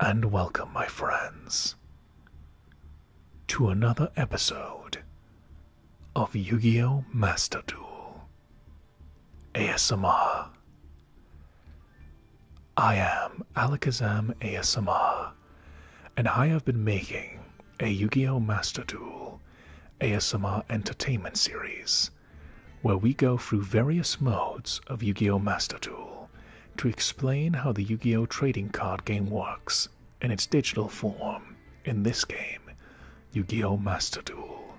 And welcome, my friends, to another episode of Yu Gi Oh! Master Duel ASMR. I am Alakazam ASMR, and I have been making a Yu Gi Oh! Master Duel ASMR entertainment series where we go through various modes of Yu Gi Oh! Master Duel to explain how the Yu Gi Oh! trading card game works in its digital form in this game, Yu Gi Oh! Master Duel.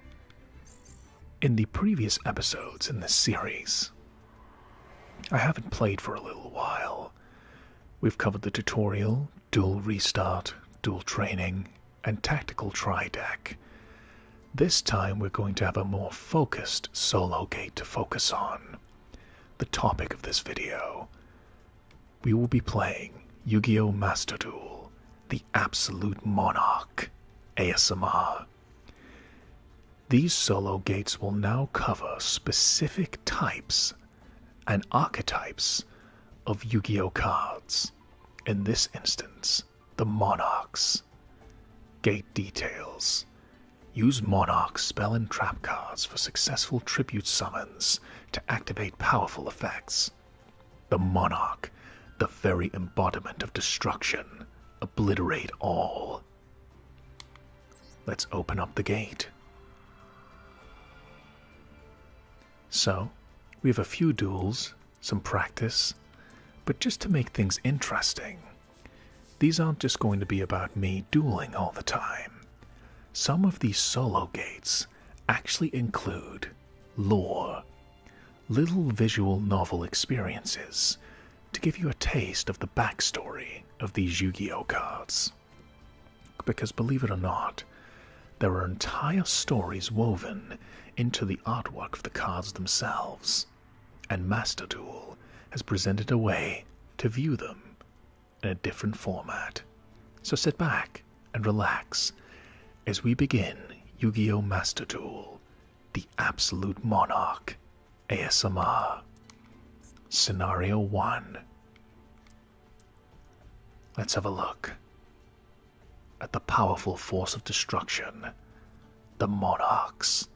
In the previous episodes in this series, I haven't played for a little while. We've covered the tutorial, dual restart, dual training, and tactical try deck. This time we're going to have a more focused solo gate to focus on. The topic of this video. We will be playing Yu Gi Oh! Master Duel, the Absolute Monarch, ASMR. These solo gates will now cover specific types and archetypes of Yu Gi Oh cards, in this instance, the Monarchs. Gate details Use Monarch spell and trap cards for successful tribute summons to activate powerful effects. The Monarch, the very embodiment of destruction, obliterate all. Let's open up the gate. So, we have a few duels, some practice, but just to make things interesting, these aren't just going to be about me dueling all the time. Some of these solo gates actually include lore little visual novel experiences to give you a taste of the backstory of these Yu Gi Oh cards. Because believe it or not, there are entire stories woven into the artwork of the cards themselves, and Master Duel has presented a way to view them in a different format. So sit back and relax as we begin Yu Gi Oh! Master Duel the Absolute Monarch ASMR. Scenario 1. Let's have a look at the powerful force of destruction, the Monarchs.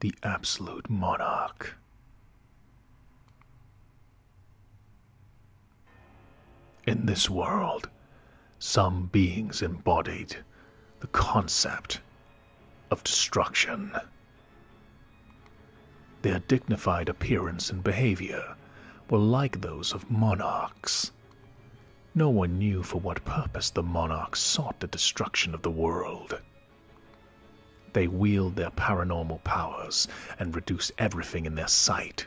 The Absolute Monarch. In this world, some beings embodied the concept of destruction. Their dignified appearance and behavior were like those of monarchs. No one knew for what purpose the monarchs sought the destruction of the world. They wield their paranormal powers and reduce everything in their sight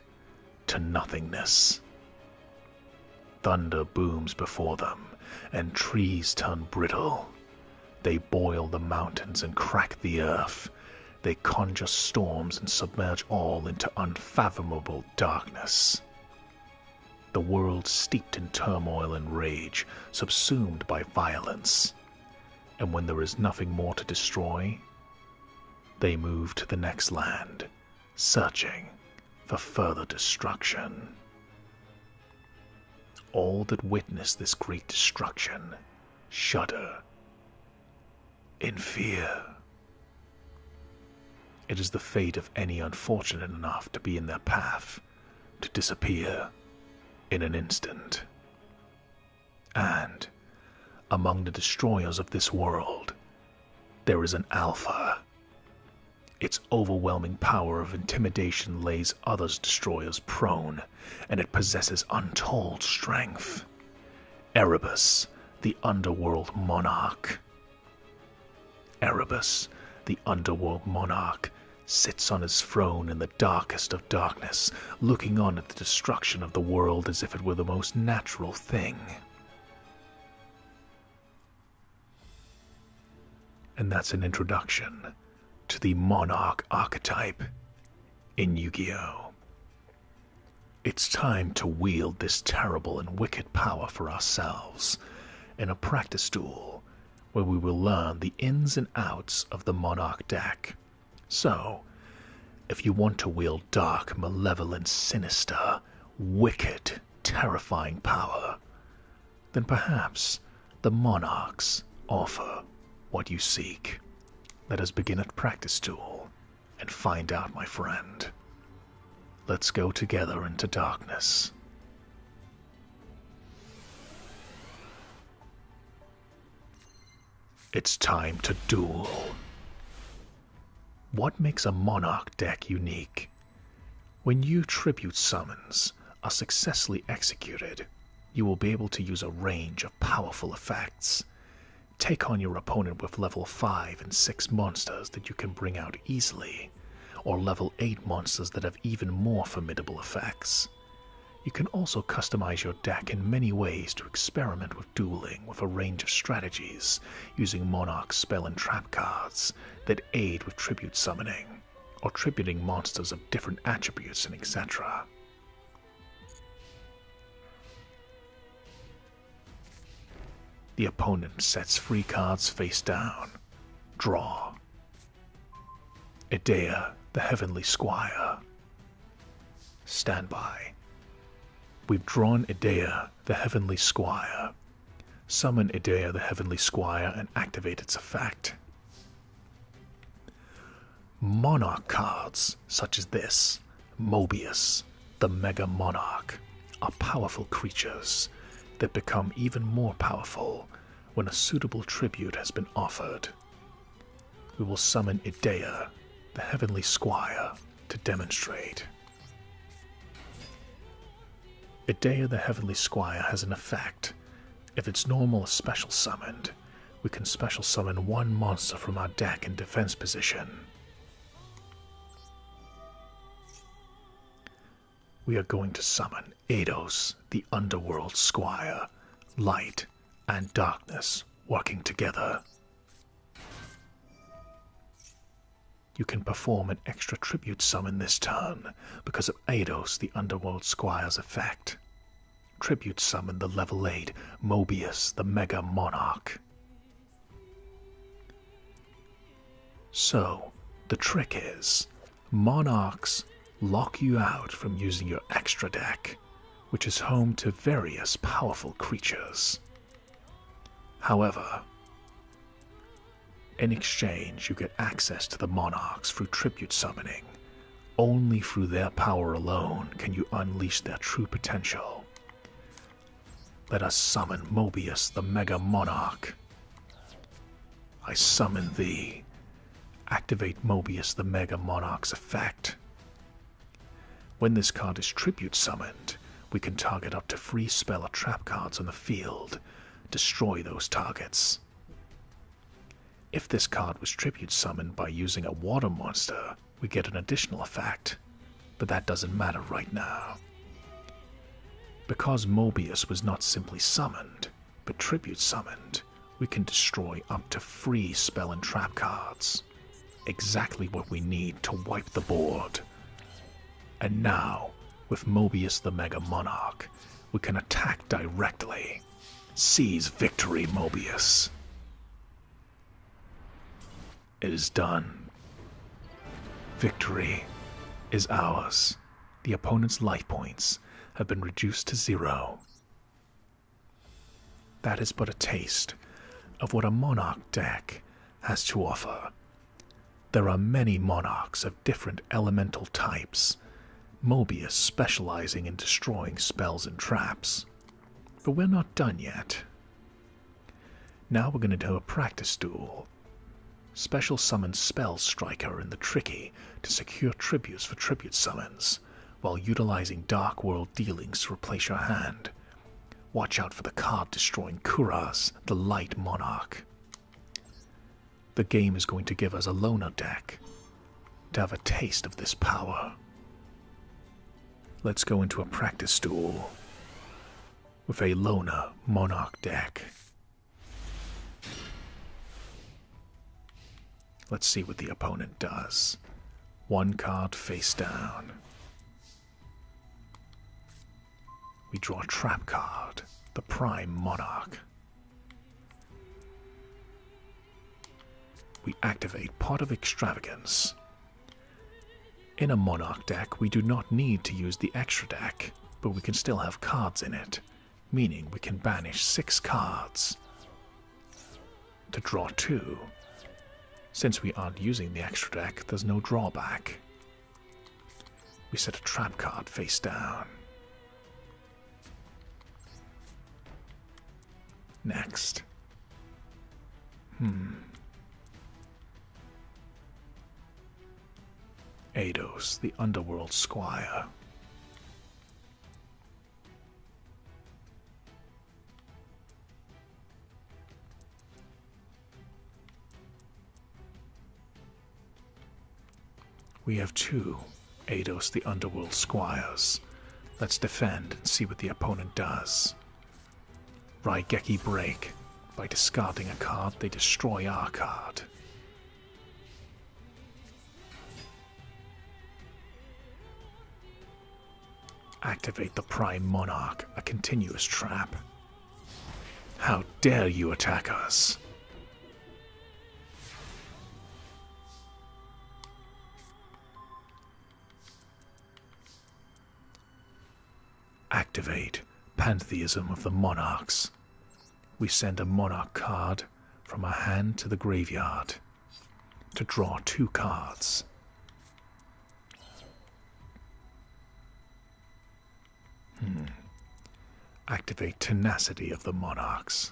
to nothingness. Thunder booms before them, and trees turn brittle. They boil the mountains and crack the earth. They conjure storms and submerge all into unfathomable darkness. The world steeped in turmoil and rage, subsumed by violence and when there is nothing more to destroy, they move to the next land, searching for further destruction. All that witness this great destruction shudder in fear. It is the fate of any unfortunate enough to be in their path to disappear in an instant. And among the destroyers of this world, there is an Alpha. Its overwhelming power of intimidation lays others' destroyers prone, and it possesses untold strength. Erebus, the underworld monarch. Erebus, the underworld monarch, sits on his throne in the darkest of darkness, looking on at the destruction of the world as if it were the most natural thing. And that's an introduction to the monarch archetype in Yu Gi Oh! It's time to wield this terrible and wicked power for ourselves in a practice duel where we will learn the ins and outs of the monarch deck. So, if you want to wield dark, malevolent, sinister, wicked, terrifying power, then perhaps the monarchs offer what you seek. Let us begin at practice tool and find out, my friend. Let's go together into darkness. It's time to duel. What makes a Monarch deck unique? When you tribute summons are successfully executed, you will be able to use a range of powerful effects. Take on your opponent with level 5 and 6 monsters that you can bring out easily, or level 8 monsters that have even more formidable effects. You can also customize your deck in many ways to experiment with dueling with a range of strategies using Monarch spell and trap cards that aid with tribute summoning, or tributing monsters of different attributes and etc. The opponent sets three cards face down. Draw. Idea, the heavenly squire. Stand by. We've drawn Idea, the heavenly squire. Summon Idea, the heavenly squire, and activate its effect. Monarch cards, such as this, Mobius, the Mega Monarch, are powerful creatures that become even more powerful when a suitable tribute has been offered we will summon Idea, the heavenly squire, to demonstrate. Idea, the heavenly squire, has an effect. If it's normal special summoned, we can special summon one monster from our deck in defense position. We are going to summon Ados, the underworld squire, light and darkness working together. You can perform an extra tribute summon this turn because of Ados, the underworld squire's effect. Tribute summon the level 8 Mobius, the mega monarch. So, the trick is monarchs lock you out from using your extra deck, which is home to various powerful creatures. However, in exchange, you get access to the monarchs through tribute summoning. Only through their power alone can you unleash their true potential. Let us summon Mobius the Mega Monarch I summon thee. Activate Mobius the Mega Monarch's effect. When this card is tribute summoned, we can target up to three spell or trap cards on the field. Destroy those targets. If this card was tribute summoned by using a water monster, we get an additional effect, but that doesn't matter right now. Because Mobius was not simply summoned, but Tribute summoned, we can destroy up to three spell and trap cards. Exactly what we need to wipe the board. And now, with Mobius the Mega Monarch, we can attack directly. Seize victory, Mobius. It is done. Victory is ours the opponent's life points have been reduced to zero. That is but a taste of what a monarch deck has to offer. There are many monarchs of different elemental types, Mobius specializing in destroying spells and traps. But we're not done yet. Now we're going to do a practice duel Special summons Spell Striker and the Tricky to secure tributes for tribute summons, while utilizing Dark World dealings to replace your hand. Watch out for the card destroying Kuraz, the Light Monarch. The game is going to give us a loner deck to have a taste of this power. Let's go into a practice duel with a loner monarch deck. Let's see what the opponent does. One card face down. We draw a trap card, the Prime Monarch. We activate Pot of Extravagance. In a Monarch deck, we do not need to use the extra deck, but we can still have cards in it meaning we can banish six cards to draw two. Since we aren't using the extra deck, there's no drawback. We set a trap card face down. Next. Hmm. Ados, the underworld squire. We have two Ados the Underworld Squires. Let's defend and see what the opponent does. Raigeki break. By discarding a card, they destroy our card. Activate the Prime Monarch, a continuous trap. How dare you attack us? Activate pantheism of the monarchs. We send a monarch card from our hand to the graveyard to draw two cards. Hmm. Activate tenacity of the monarchs.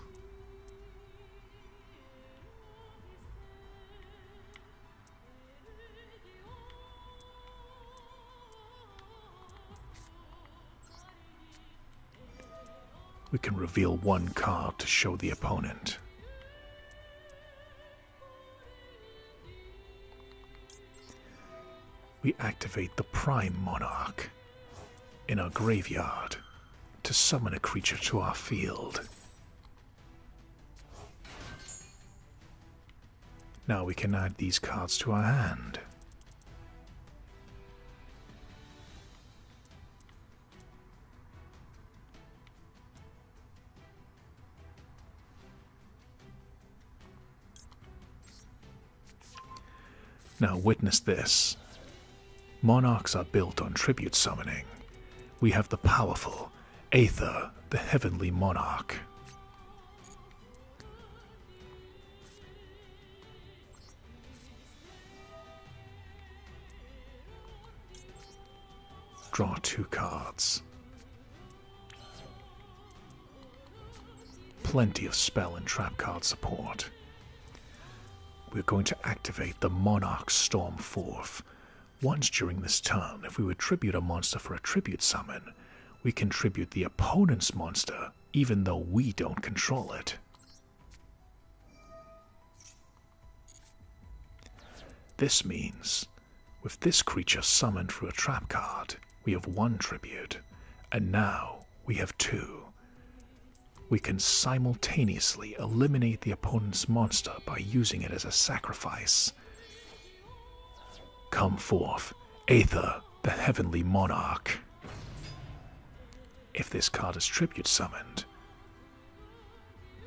We can reveal one card to show the opponent. We activate the Prime Monarch in our graveyard to summon a creature to our field. Now we can add these cards to our hand. Now witness this. Monarchs are built on tribute summoning. We have the powerful Aether, the heavenly monarch. Draw two cards. Plenty of spell and trap card support. We're going to activate the Monarch Storm forth. Once during this turn, if we would tribute a monster for a tribute summon, we contribute the opponent's monster, even though we don't control it. This means, with this creature summoned through a trap card, we have one tribute, and now we have two. We can simultaneously eliminate the opponent's monster by using it as a sacrifice Come forth, Aether, the heavenly monarch. If this card is tribute summoned,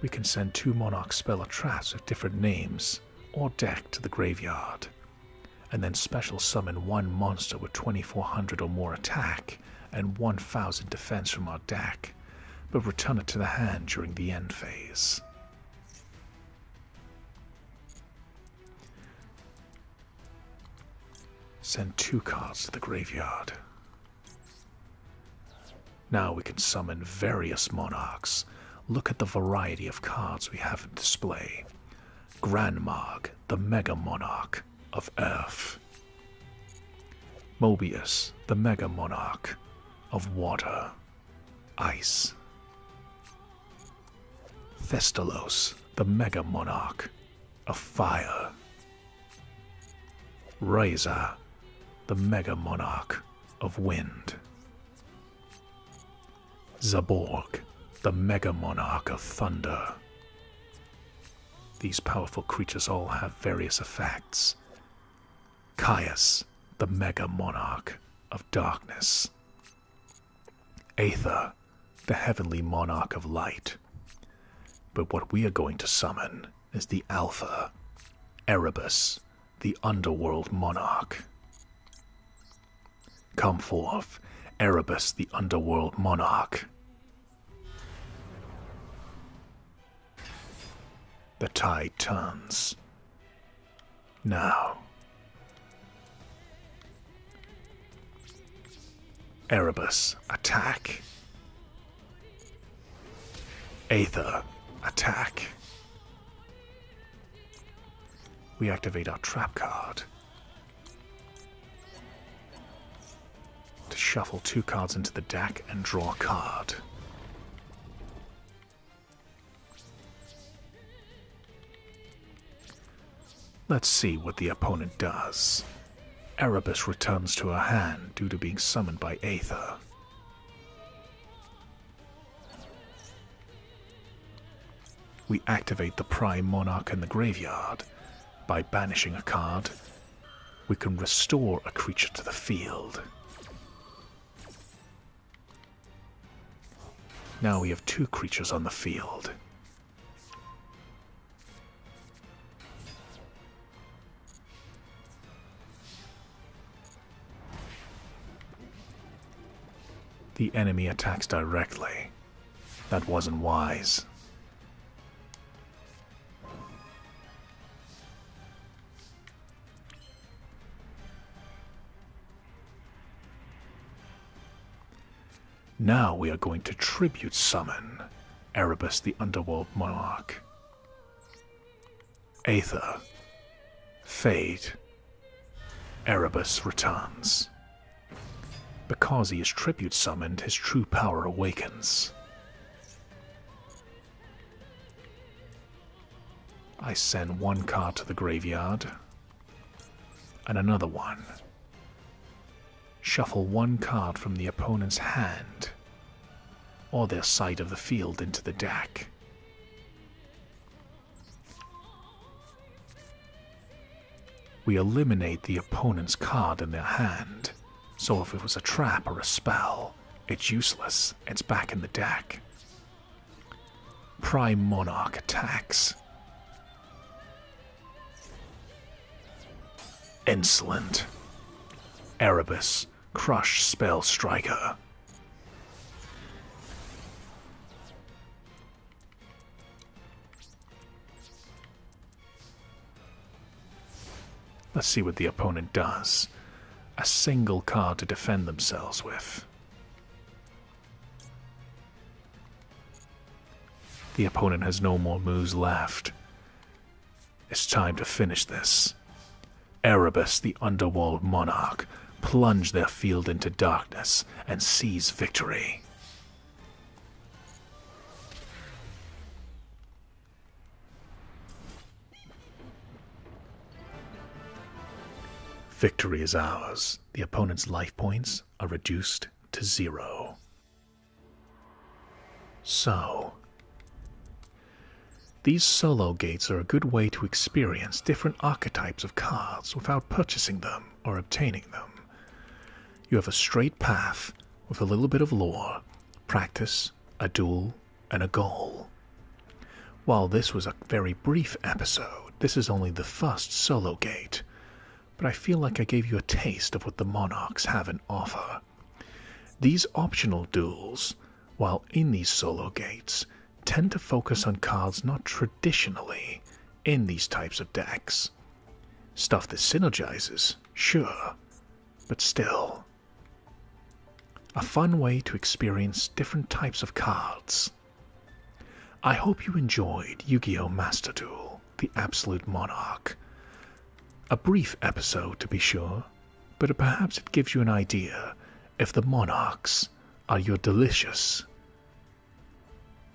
we can send two monarch spell traps with different names or deck to the graveyard, and then special summon one monster with 2400 or more attack and 1000 defense from our deck, but return it to the hand during the end phase. Send two cards to the graveyard. Now we can summon various monarchs. Look at the variety of cards we have in display. Grandmarg, the Mega Monarch of Earth. Mobius, the Mega Monarch of Water. Ice. Thestalos, the Mega Monarch, of fire. Razor, the Mega Monarch of wind. Zabork, the Mega Monarch of thunder. These powerful creatures all have various effects. Caius, the mega monarch of darkness. Aether, the heavenly monarch of light. But what we are going to summon is the Alpha, Erebus, the underworld monarch. Come forth, Erebus, the underworld monarch. The tide turns. Now. Erebus, attack. Aether, attack. We activate our trap card. To shuffle two cards into the deck and draw a card. Let's see what the opponent does. Erebus returns to her hand due to being summoned by Aether. We activate the Prime Monarch in the graveyard. By banishing a card, we can restore a creature to the field. Now we have two creatures on the field. The enemy attacks directly. That wasn't wise. Now we are going to tribute summon Erebus the Underworld Monarch. Aether. Fade. Erebus returns. Because he is tribute summoned, his true power awakens. I send one card to the graveyard and another one. Shuffle one card from the opponent's hand or their side of the field into the deck. We eliminate the opponent's card in their hand, so if it was a trap or a spell, it's useless. It's back in the deck. Prime Monarch attacks. Insolent. Erebus, Crush Spell Striker. Let's see what the opponent does. A single card to defend themselves with. The opponent has no more moves left. It's time to finish this. Erebus, the Underworld Monarch, plunge their field into darkness and seize victory. Victory is ours. The opponent's life points are reduced to zero. So, these solo gates are a good way to experience different archetypes of cards without purchasing them or obtaining them. You have a straight path with a little bit of lore, practice, a duel, and a goal. While this was a very brief episode, this is only the first solo gate, but I feel like I gave you a taste of what the Monarchs have in offer. These optional duels, while in these solo gates, tend to focus on cards not traditionally in these types of decks. Stuff that synergizes, sure, but still, a fun way to experience different types of cards. I hope you enjoyed Yu Gi Oh! Master Duel The Absolute Monarch. A brief episode, to be sure, but perhaps it gives you an idea if the monarchs are your delicious,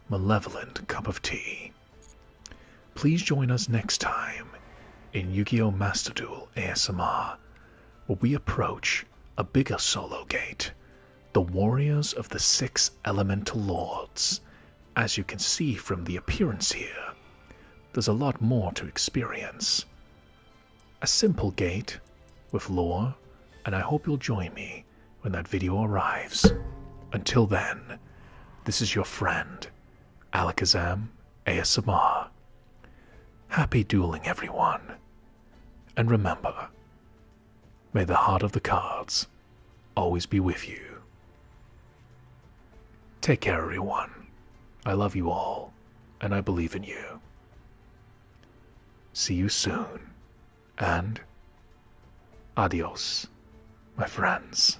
malevolent cup of tea. Please join us next time in Yukio Master Duel ASMR, where we approach a bigger solo gate, the Warriors of the Six Elemental Lords. As you can see from the appearance here, there's a lot more to experience. A simple gate with lore, and I hope you'll join me when that video arrives. Until then, this is your friend, Alakazam ASMR. Happy dueling, everyone. And remember, may the heart of the cards always be with you. Take care, everyone. I love you all, and I believe in you. See you soon, and adios, my friends.